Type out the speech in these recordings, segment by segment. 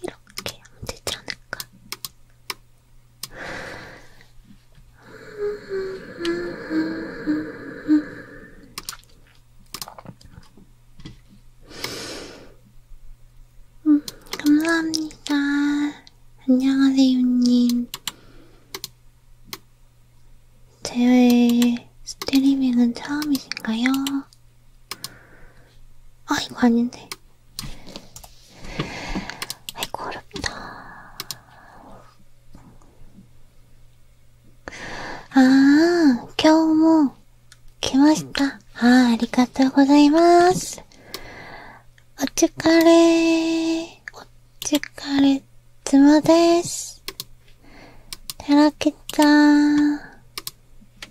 이렇게 하면 되지 않을까? 음, 감사합니다. 안녕하세요님. 제 스트리밍은 처음이신가요? 아い거아닌데아이고어렵ああ、今日も来ましたあ、ありがとうございますお疲れお疲れつです。てらきちゃ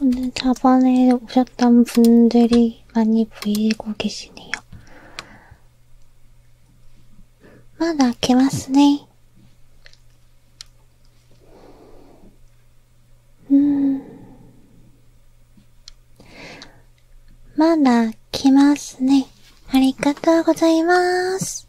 오늘자반에오셨던분들이많이보이고계시네 요. 마다개마스 네. 음. 마다개마스 네. ありがとうございます。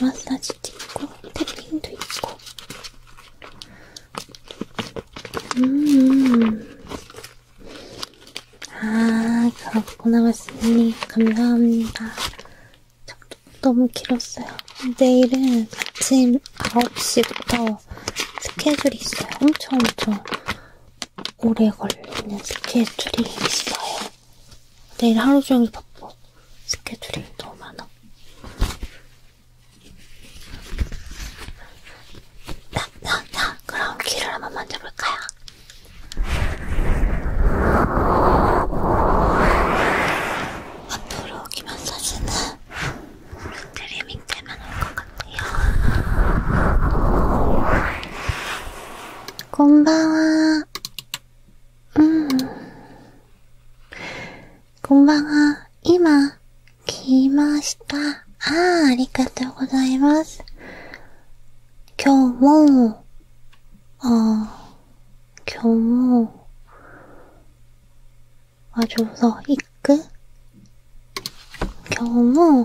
마사지도 있고, 탭핑도 있고. 음. 아, 그렇구나, 말씀님. 감사합니다. 너무 길었어요. 내일은 아침 9시부터 스케줄이 있어요. 엄청 엄청 오래 걸리는 스케줄이 있어요. 내일 하루 종일 바빠. 스케줄이 너무 많아. 자, 자, 자, 그럼 귀를 한번 만져볼까요? 앞으로 귀 마사지는 드리밍 때만 올것 같아요. 곤바와 うん。こんばんは。今、来ました。ああ、ありがとうございます。今日も、ああ、今日も、あ、ちょうど、行く今日も、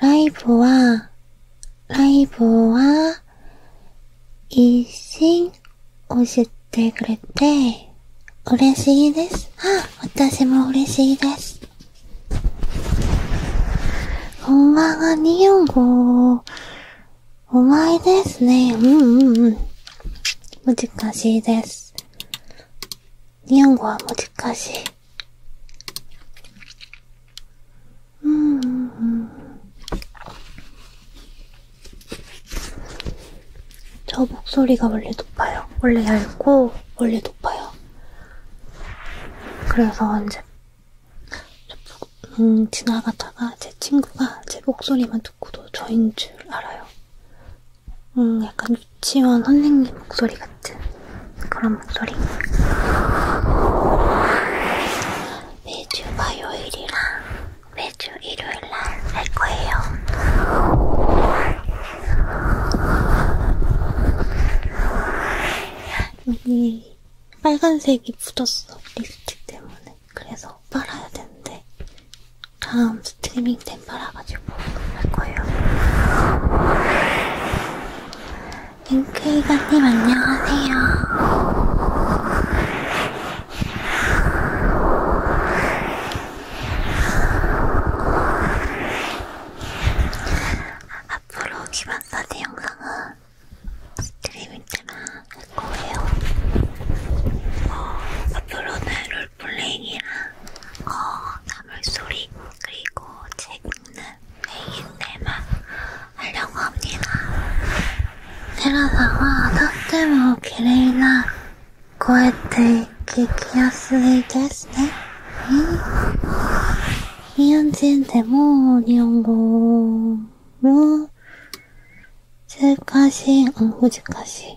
ライブは、ライブは、一心教えてくれて、嬉しいです。あ、私も嬉しいです。こんばんは、ニオンゴお前ですね。うんうんうん。難しいです。 니은과 모지까지. 음, 음, 음. 저 목소리가 원래 높아요. 원래 얇고, 원래 높아요. 그래서 이제, 음, 지나가다가 제 친구가 제 목소리만 듣고도 저인 줄 알아요. 음, 약간 유치원 선생님 목소리 같은 그런 목소리. 매주 화요일이랑 매주 일요일날 할 거예요. 여기 빨간색이 묻었어. 립스틱 때문에. 그래서 빨아야 되는데 다음 스트리밍 템퍼라가지고 할 거예요. 링크이가님 안녕하세요. 앞으로 기반사제 영상은 스트리밍 때만 할 거예요. 어, 앞으로는 롤플레잉이랑 어나물소리그리고책읽는메인테마하려고합니다테라사와덕대모기레이나고에테기키야스이데스네이현진대모니온고로難しい、うん、難しい。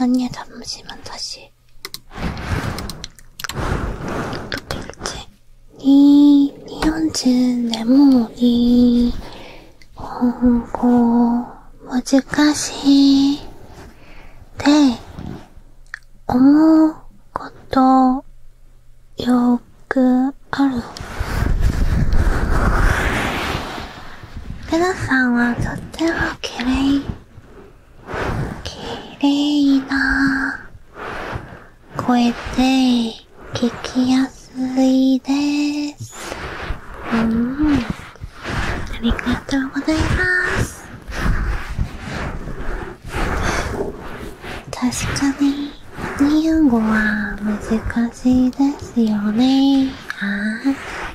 언니의잠시만다시 1, 2, 44, 2, 5, 5, 難しい。で、思うこと、よくある。テラさんはとってもきれいきれいな声で聞きやすいですうんありがとうございます確かに日本語は難しいですよねはい。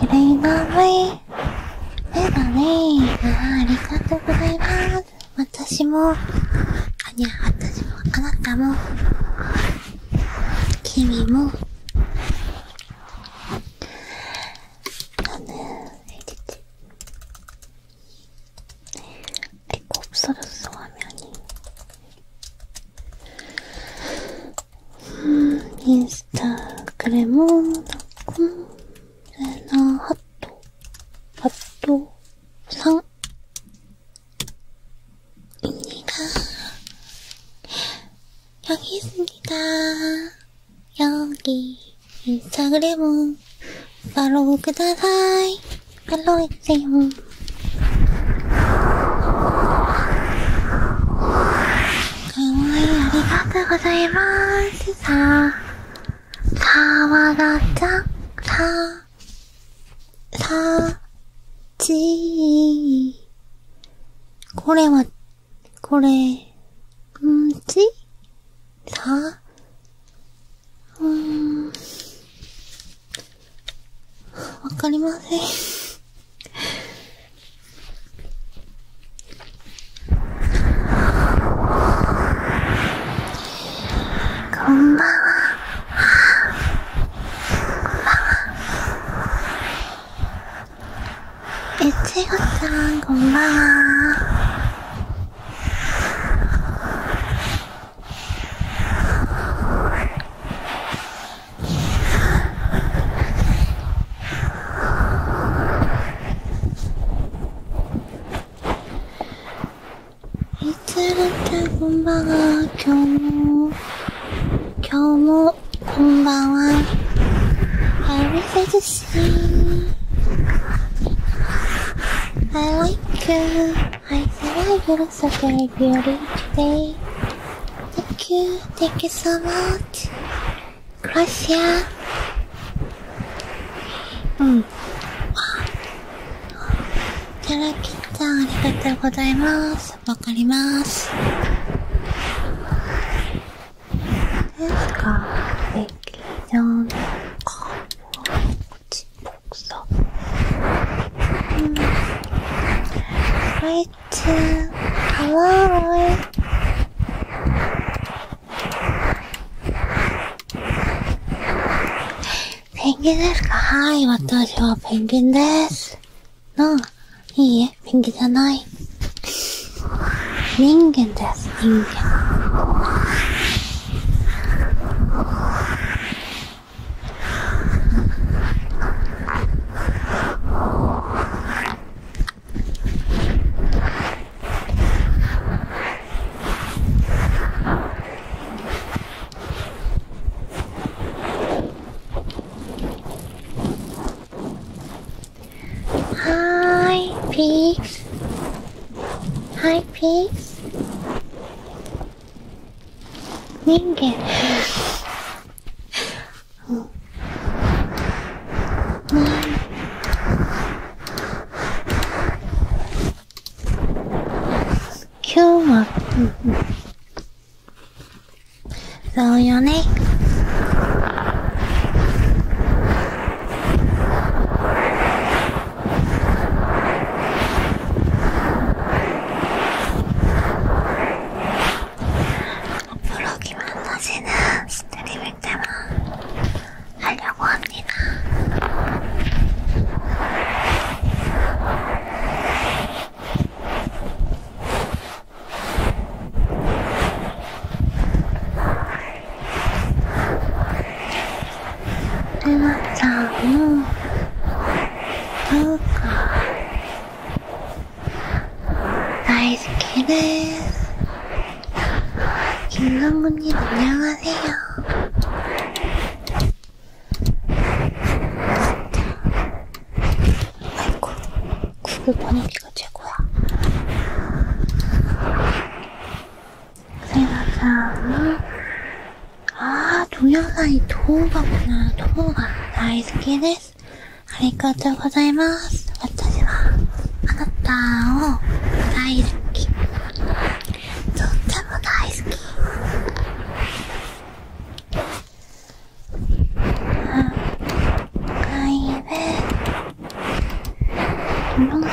綺麗な目。目だね。ああ、ありがとうございます。私も、あ、にゃ、私も、あなたも、君も、あの、え、ちち。え、곱슬었어화면이 음, 인스타그램은 넣고 레나 핫도 핫도 상 입니다. 여기 있습니다. 여기 인스타그램은 팔로우 ください팔로우 해주세요. ありがとうございます。さあ、さあわらちゃん、さあ、さあ、ちこれは、これ、んちさあ、うん。わかりませんこんばんは。こんんばは。えちごちゃん、こんばんは。みつるちこんばんは今日も今日もこんばんは Sakura Beauty today. Thank you, thank you so much. Gracias. うん。いただきちゃん、ありがとうございます。わかります。ですか、劇場のカーブを口っぽくさ。うん。ライいちゃんいペンギンですかはい私はペンギンですの、あいいえペンギンじゃない人間です人間 Hi, pigs. Hi, pigs. Ningen. うんうん今日は、ううん、そうよね。 앞으로 김한나 씨는 스트리밍 때만 하려고 합니다. 해맞자, 뭐, 더울까? 나의 스킬은 김강군님 안녕하세요. 아이고, 구글 번역기가 최고야. 생각하고 あー、ト野菜、トウガかな、トウガ、大好きです。ありがとうございます。私は、あなたを大好き。とっても大好き。かいいね。トウガ、トウガ。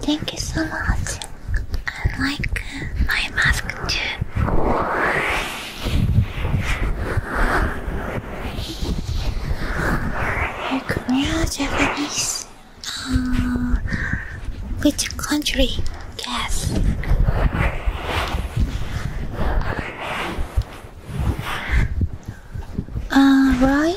Thank you so much. I like uh, my mask too. you Korea, Japanese. Uh, which country? Yes. Uh, Roy?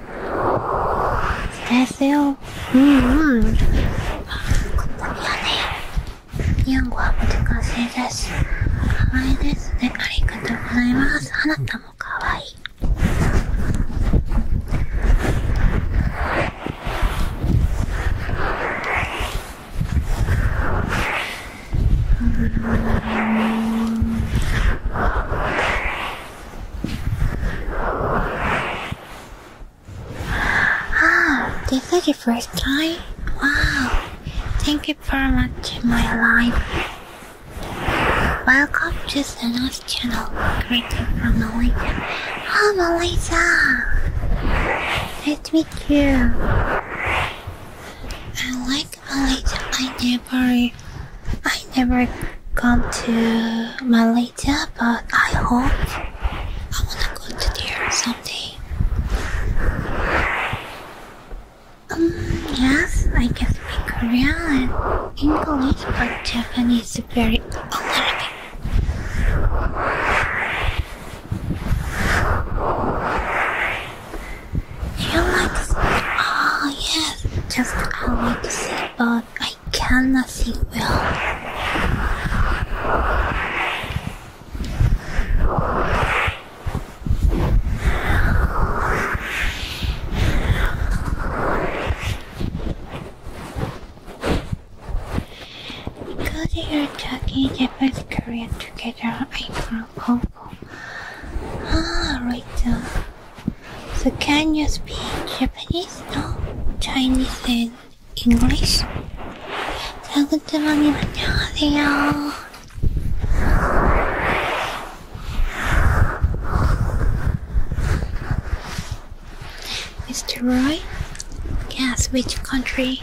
안녕하세요음음日本語はも難しいです。可愛いですね。ありがとうございます。あなたも可愛い。うん Ah, this is your first time? Wow. Thank you very much, my life. Welcome to Sena's channel. Greeting from Malaysia. Oh, Malaysia! Nice to meet you. I like Malaysia. I never I never come to Malaysia, but I hope I wanna go to there someday. Um, yes, I can speak Korean and English, but Japanese is very a you like to oh, yes, just I like to see, but I cannot think well. Go you your talking Japanese Korean together. I'm from Hong Kong. Ah, right. Uh, so can you speak Japanese? No? Chinese and English? 자그트머님 안녕하세요. Mr. Roy? Guess switch country?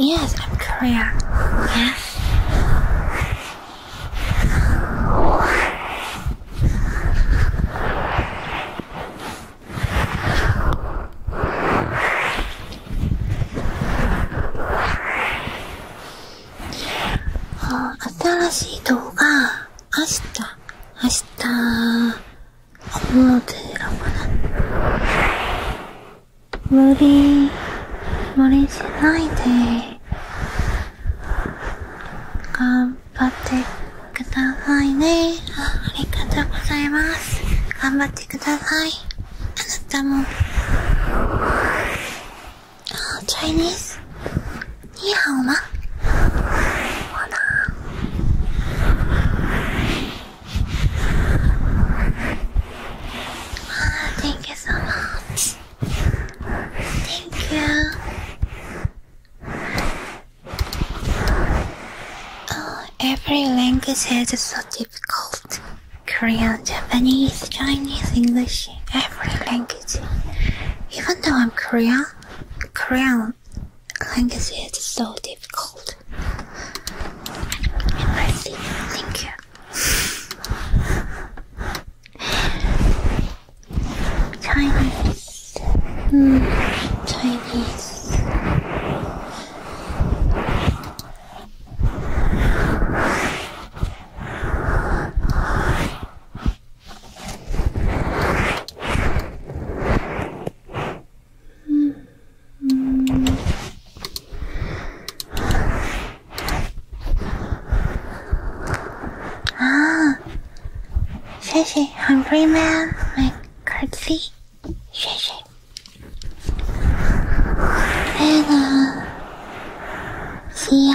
Yes, I'm Korean. Yes. Oh, 新しい動画明日明日本物というか無理無理しないで頑張ってくださいねありがとうございます頑張ってくださいあなたも Uh, Chinese? 你好吗？我呢？Ah, thank you so much. Thank you. Oh, every language is so difficult. Korean, Japanese, Chinese, English, every language. Even though I'm Korean, Korean language is so difficult. see. Thank you. Chinese. Mm, Chinese. Mm -hmm. Ah, 谢谢 Hungry Man, my curtsy. 谢谢。那个，西瑶。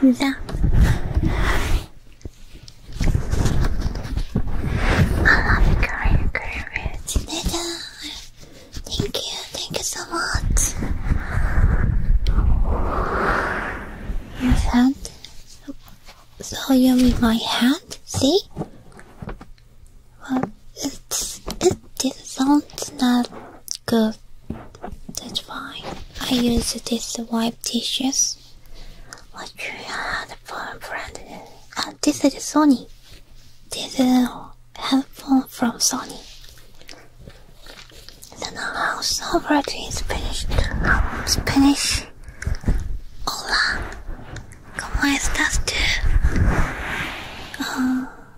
你的。I love you, Korean, Korean, Korean. Thank you, thank you so much. Your hand. So you with my hand, see? Well, it's, it, this sounds not Good. That's fine. I use this to wipe dishes. What you had phone brand? Uh, this is Sony. This is a phone from Sony. The house over in Spanish. Um, finished. Hola. ¿Cómo estás tú? Uh,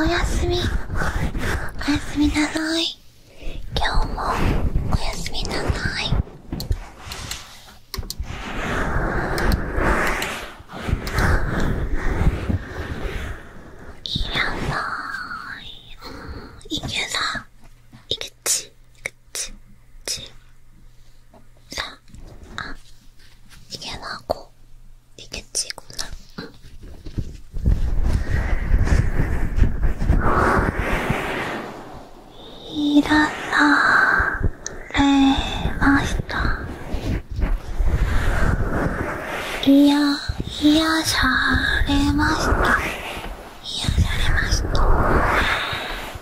おやすみおやすみなさい今日もおやすみなさいいらないいけたいけ 그치, 그치, 그치. 자, 아, 이게 나고, 이게 지구나. 응. 일어나, 레, 마시다. 이야, 이야, 잘해, 마시다. 이야, 잘해, 마시다.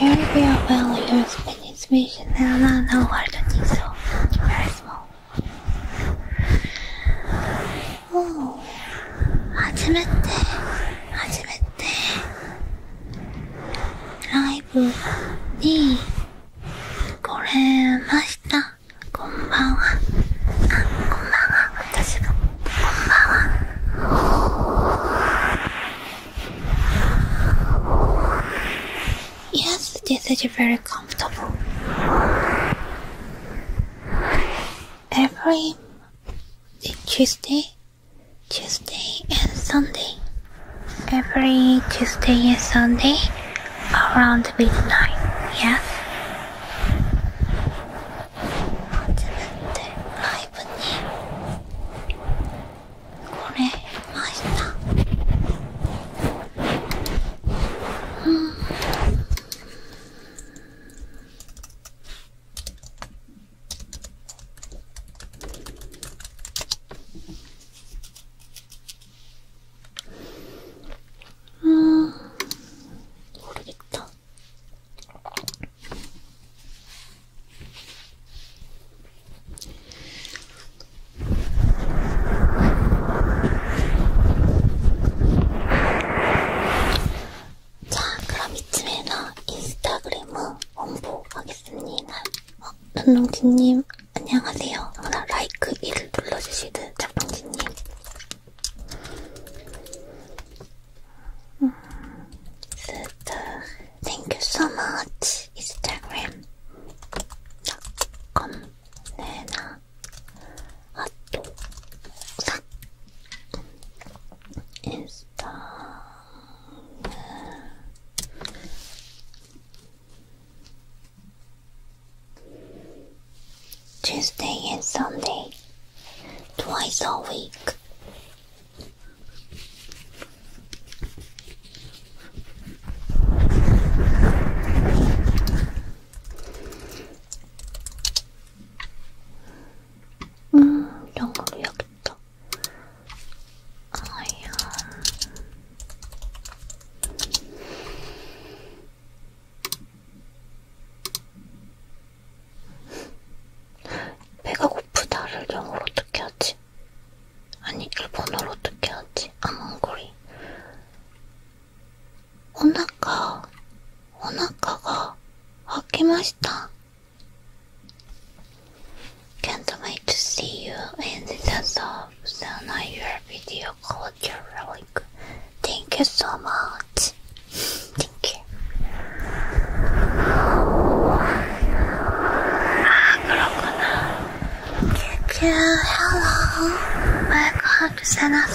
European family or Spanish vision and another world is so very small. Oh, 初めて、初めて、ライブに来れました。こんばんは。あ、こんばんは。私が。Yes, this is very comfortable. Every Tuesday, Tuesday and Sunday. Every Tuesday and Sunday around midnight, yes? 아즈멘트 라이브님 고래 맛있다 음. 음, 모르겠다. 자, 그럼 이쯤에서 인스타그램을 홍보하겠습니다. 어, 런롱지님 안녕하세요. 하나 라이크 1을 눌러주시듯 작동지님 Thank you so much, Instagram. Tuesday and Sunday, twice a week. 음, 너무 귀엽다. 아야. 배가 고프다를 영어로 어떻게 하지? 아니 일본어로 어떻게 하지? I'm hungry. 오나카, 오나카가 아키마시다. Can't wait to see you in the depths of the night. Your video called your relic. Thank you so much. Thank you. 아, 그렇구나. 큐큐, hello. Welcome to Sena's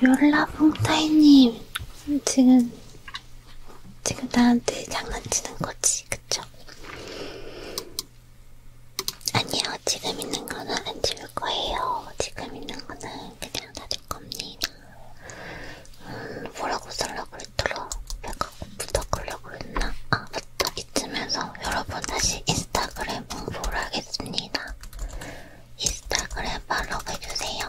열라봉타이님 지금 지금 나한테 장난치는 거지, 그쵸? 아니요, 지금 있는 거는 안 지울 거예요. 지금 있는 거는 그냥 놔둘 겁니다. 음, 뭐라고 쓰려고 했더라? 배가 고프다 그러려고 했나? 아, 맞다. 이쯤에서 여러분 다시 인스타그램 홍보를 하겠습니다. 인스타그램 팔로우 해주세요.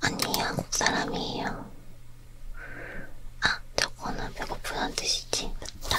아니, 한국 사람이에요. 아, 저거는 배고프다는 뜻이지. 그다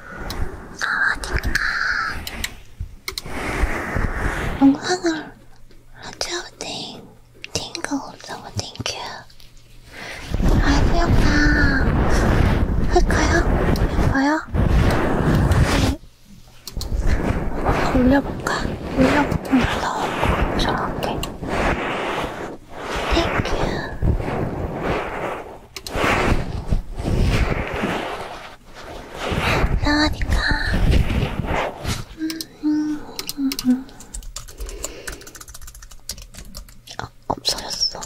사와디카 영상을 하트오팅 팅글 오브딩큐 라이브 영상 할까요? 예뻐요? 네. 올려볼까? 올려보면 나올 것 같아 땡큐 나으니까 음, 음, 음. 아, 없어졌어.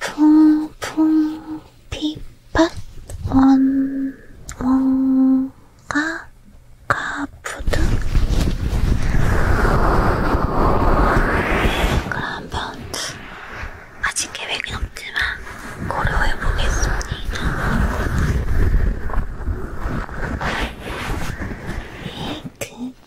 풍풍 피밭 원 원가 가푸드 그러면 아직 계획은 없지만 고려해 보겠습니다. 예, 그.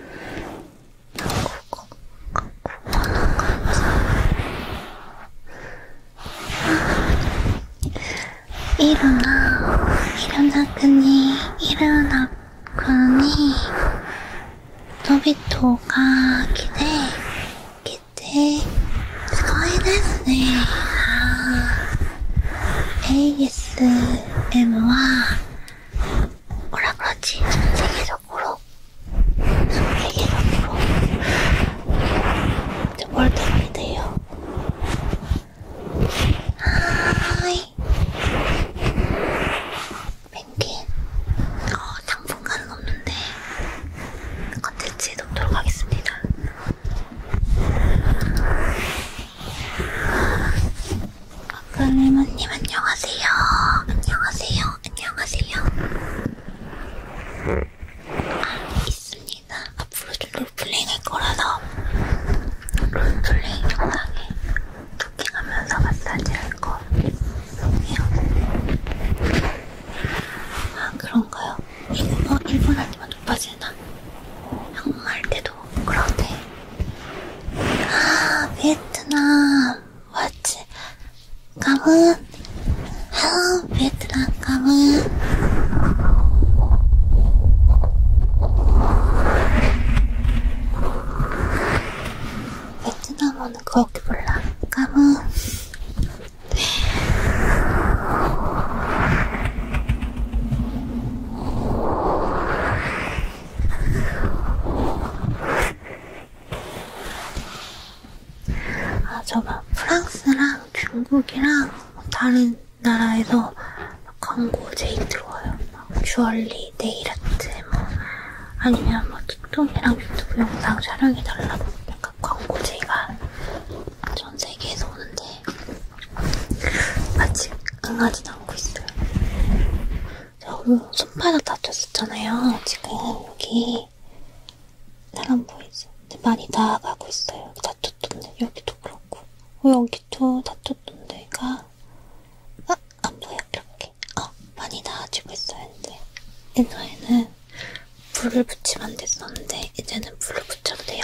どここここの感じいろないろな国いろな国人々が来て来てすごいですねあ ASM は 뭐라 그러지? 전 세계적으로 전 세계적으로 뭘 때문에 돼요? 하이 펭귄 어, 당분간은 없는데 컨텐츠에 넣도록 하겠습니다 박근혜모님 아, 안녕하세요. 안녕하세요. 안녕하세요. 아, 있습니다. 앞으로 좀 롤플레잉 할 거라서 롤플레잉 영상에 토킹하면서 마사지 할 거예요. 아 그런가요? 이거 뭐 일본 할때만 높아지나? 한국말 때도 그런데 아, 베트남. 왔지. 까분. 헬로, 베트남 까분. 베트남어는 그렇게 몰라. 까분. 아, 저막 프랑스랑 중국이랑 다른 나라에서 광고 제일 들어와요. 막 주얼리, 네일아트, 뭐 아니면 뭐 틱톡이랑 유튜브 영상 촬영해달라고. 약간 광고 제가 전 세계에서 오는데 게 아직 강하진 않고 있어요. 너무 손바닥 다쳤었잖아요. 지금 여기 사람 보이죠? 근데 많이 나아가고 있어요. 여기 다쳤던데 여기도 그렇고 어, 여기도 다쳤던 데가 아! 어, 안 보여 이렇게 어! 많이 나아지고 있어요 이제 옛날에는 불을 붙이면 안 됐었는데 이제는 불을 붙여도 돼요.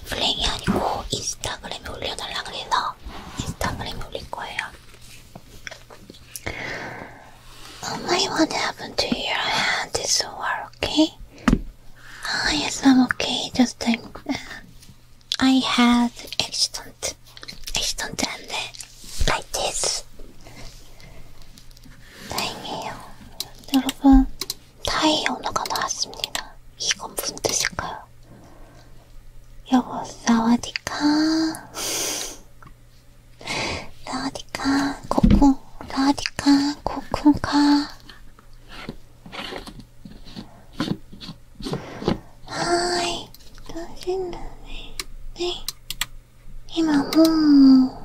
플랭이 아니고 인스타그램에 올려달라 그래서 인스타그램에 올릴 거예요. Oh my, what happened to your hand? It's so hard, okay? Ah, yes, I'm okay. Just I'm, uh, I had accident, accident, and uh, like this. 다행이에요. 여러분, 타이 언어가 나왔습니다. 이건 무슨 뜻일까요? 여보, 사와디카. 사와디카, 코쿤, 사와디카, 코쿤카. 하이, 떨리네. 네. 今もう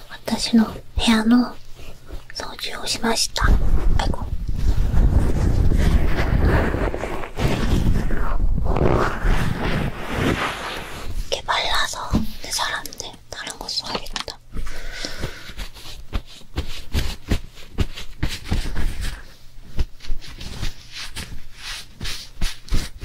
私の部屋の掃除をしました。あいこ개말라서내사람인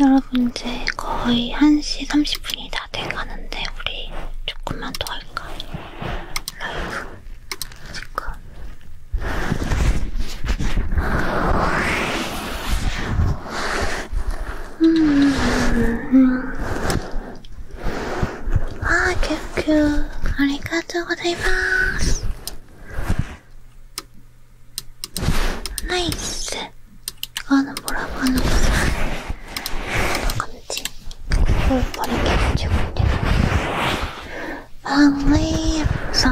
여러분 이제 거의 1시 30분이 다 돼가는데 우리 조금만 더 할까? 라이브 지금 음, 음. 음. 음. 음. 아, 큐큐. 아리가토 고자이마스. 나이스! 이거는 뭐라고 하는 거야? 건지 이걸 버리게 해주고 있는 방이 없어서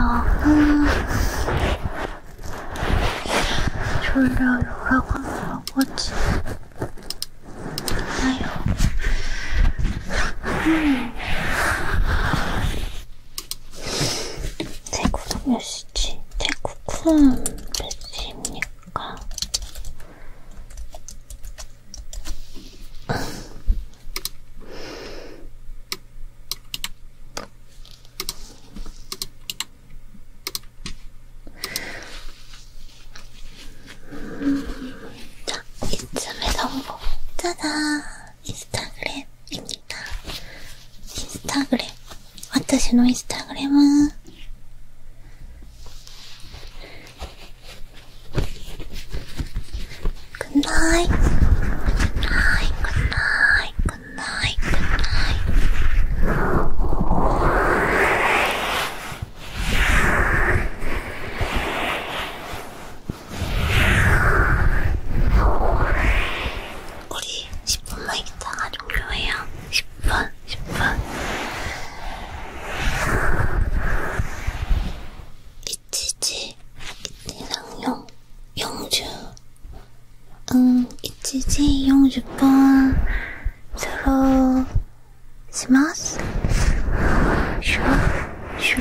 졸려요라고 하는 거지 나요 음. 제 구독 몇 시지? 제 구독 몇 시입니까? 자, 이쯤에서 보고 짜잔! 인스타그램입니다. インスタグレム私のインスタグレムくないくないくないくないくない 우리 10분만 있다가 종료해요. 10분, 10분. 이치지, 이치랑 용, 용주. 응, 이치지, 용주뿐. 서로, 스마스? 슈, 슈.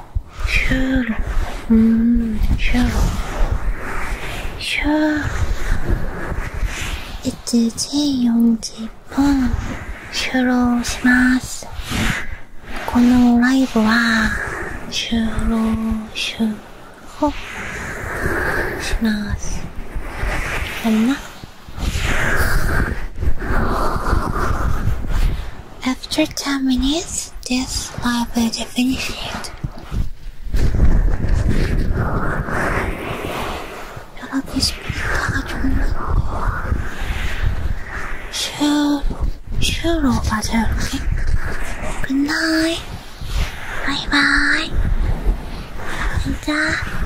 ロシューロうんシューロシューロ 1G40 分終了しますこのライブは終了終了しますやるな After 10 minutes, this live will be finished. Sure, sure, Roger. Okay. Good night. Bye bye. Good night. Uh,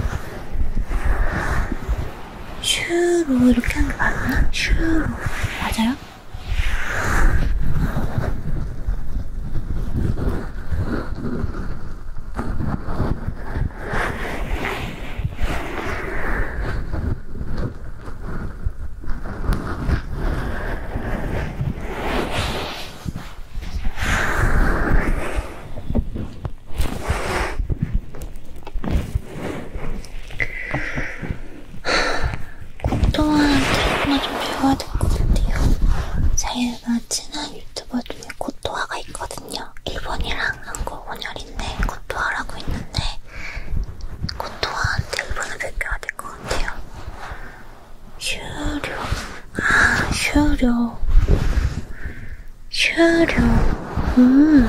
슈로 이렇게 하는 거 맞나? 슈로 맞아요? 공도와 드라마 좀 배워야 될 것 같아요. 제가 친한 유튜버 중에 고토화가 있거든요. 일본이랑 한국 혼혈인데 고토화라고 있는데 고토화한테 일본을 배워야 될 것 같아요. 슈료 아 슈료 슈료 음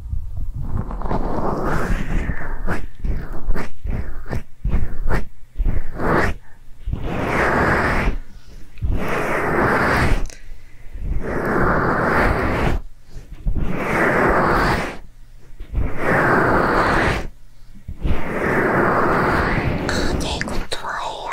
아, 네, 이거 좋아해요.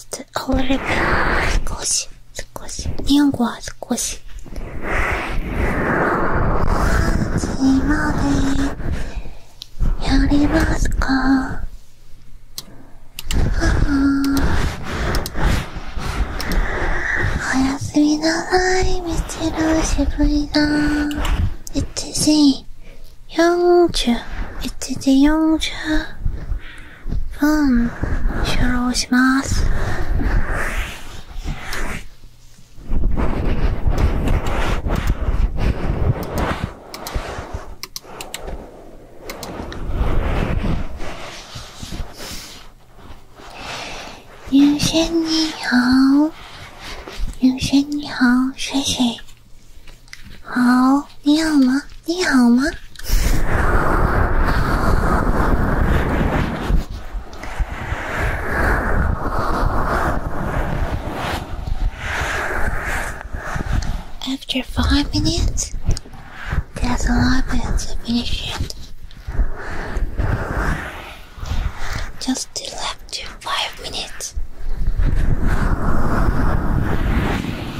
just a little bit 少し少し日本語は少し今でやりますかおやすみなさい、みちる、しぶりだ。1時40、1時40。嗯，收罗します。永轩你好，有些你好，谢谢。After five minutes, there's a lot to finish it. Just left to five minutes.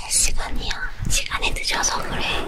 잘 시간이야. 시간이 늦어서 그래.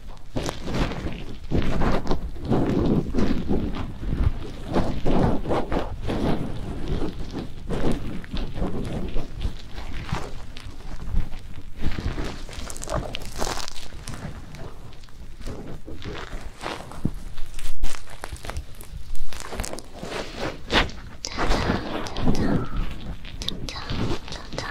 짜잔 짜잔 짜잔 짜잔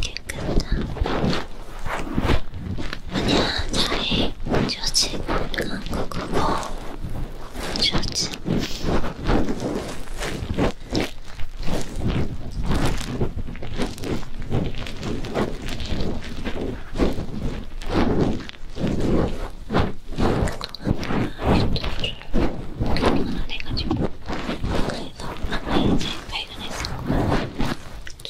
깨끗한 아니야 잘해 좋지 그거 그거 좋지 그동안 내가 지고 그래서 아까 이제 발견했을 거야.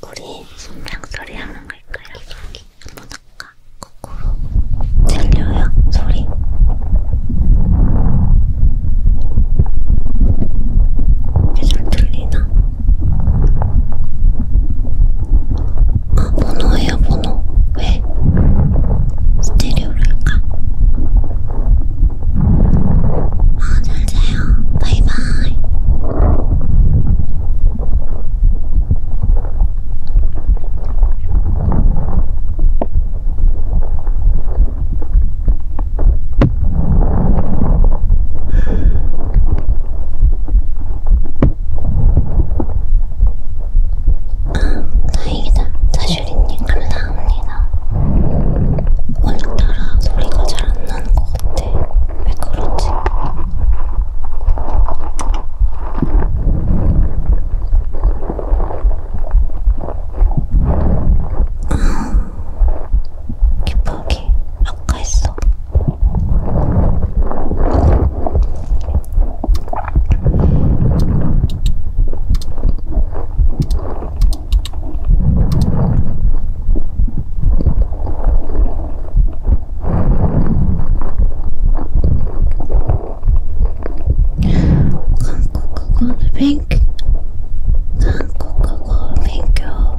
우리 손랑 소리 하는 걸까요? 한번 할까? 거꾸로 들려요? 소리? 계속 들리나? 아, 번호예요, 번호. 왜? 스테레오를 할까? 아, 잘 자요. 바이바이. 다행이다. 사실이님 감사합니다. 오늘따라 소리가 잘 안 나는 것 같아. 왜 그러지? 기쁘게 아까 했어. 한국어 뱅 한국어 뱅교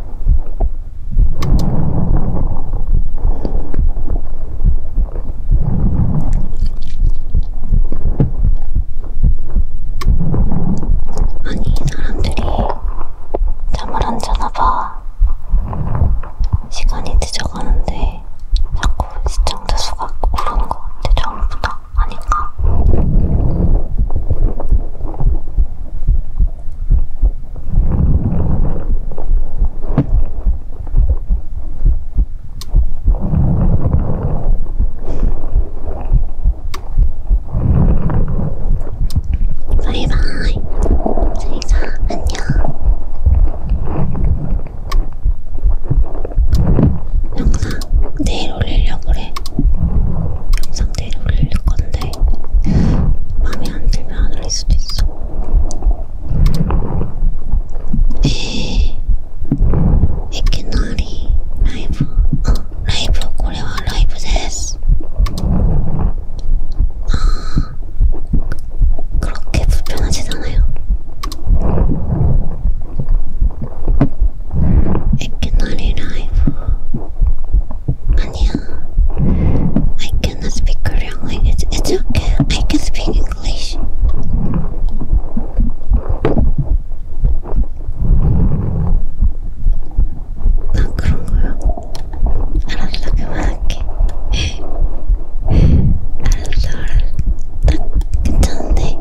아니, 사람들이 잠을 안 자나 봐. 시간이 늦어가는데 자꾸 시청자 수가 오르는 것 같아. 전부 다 아닌가? 바이바이 제이자 안녕 영상 내일 올리려고 그래 영상 그대로 올릴 건데 마음에 안 들면 안 올릴 수도 있어. 네, 에케나리 라이브, 어, 라이브 고래와 라이브 데스. 아, 그렇게 불편하지 않아요. I cannot arrive. 아니야. I cannot speak Korean language. It's okay. I can speak English. 난 그런 거야. 알았어, 그만할게. 알았어, 알았어. 딱 괜찮은데.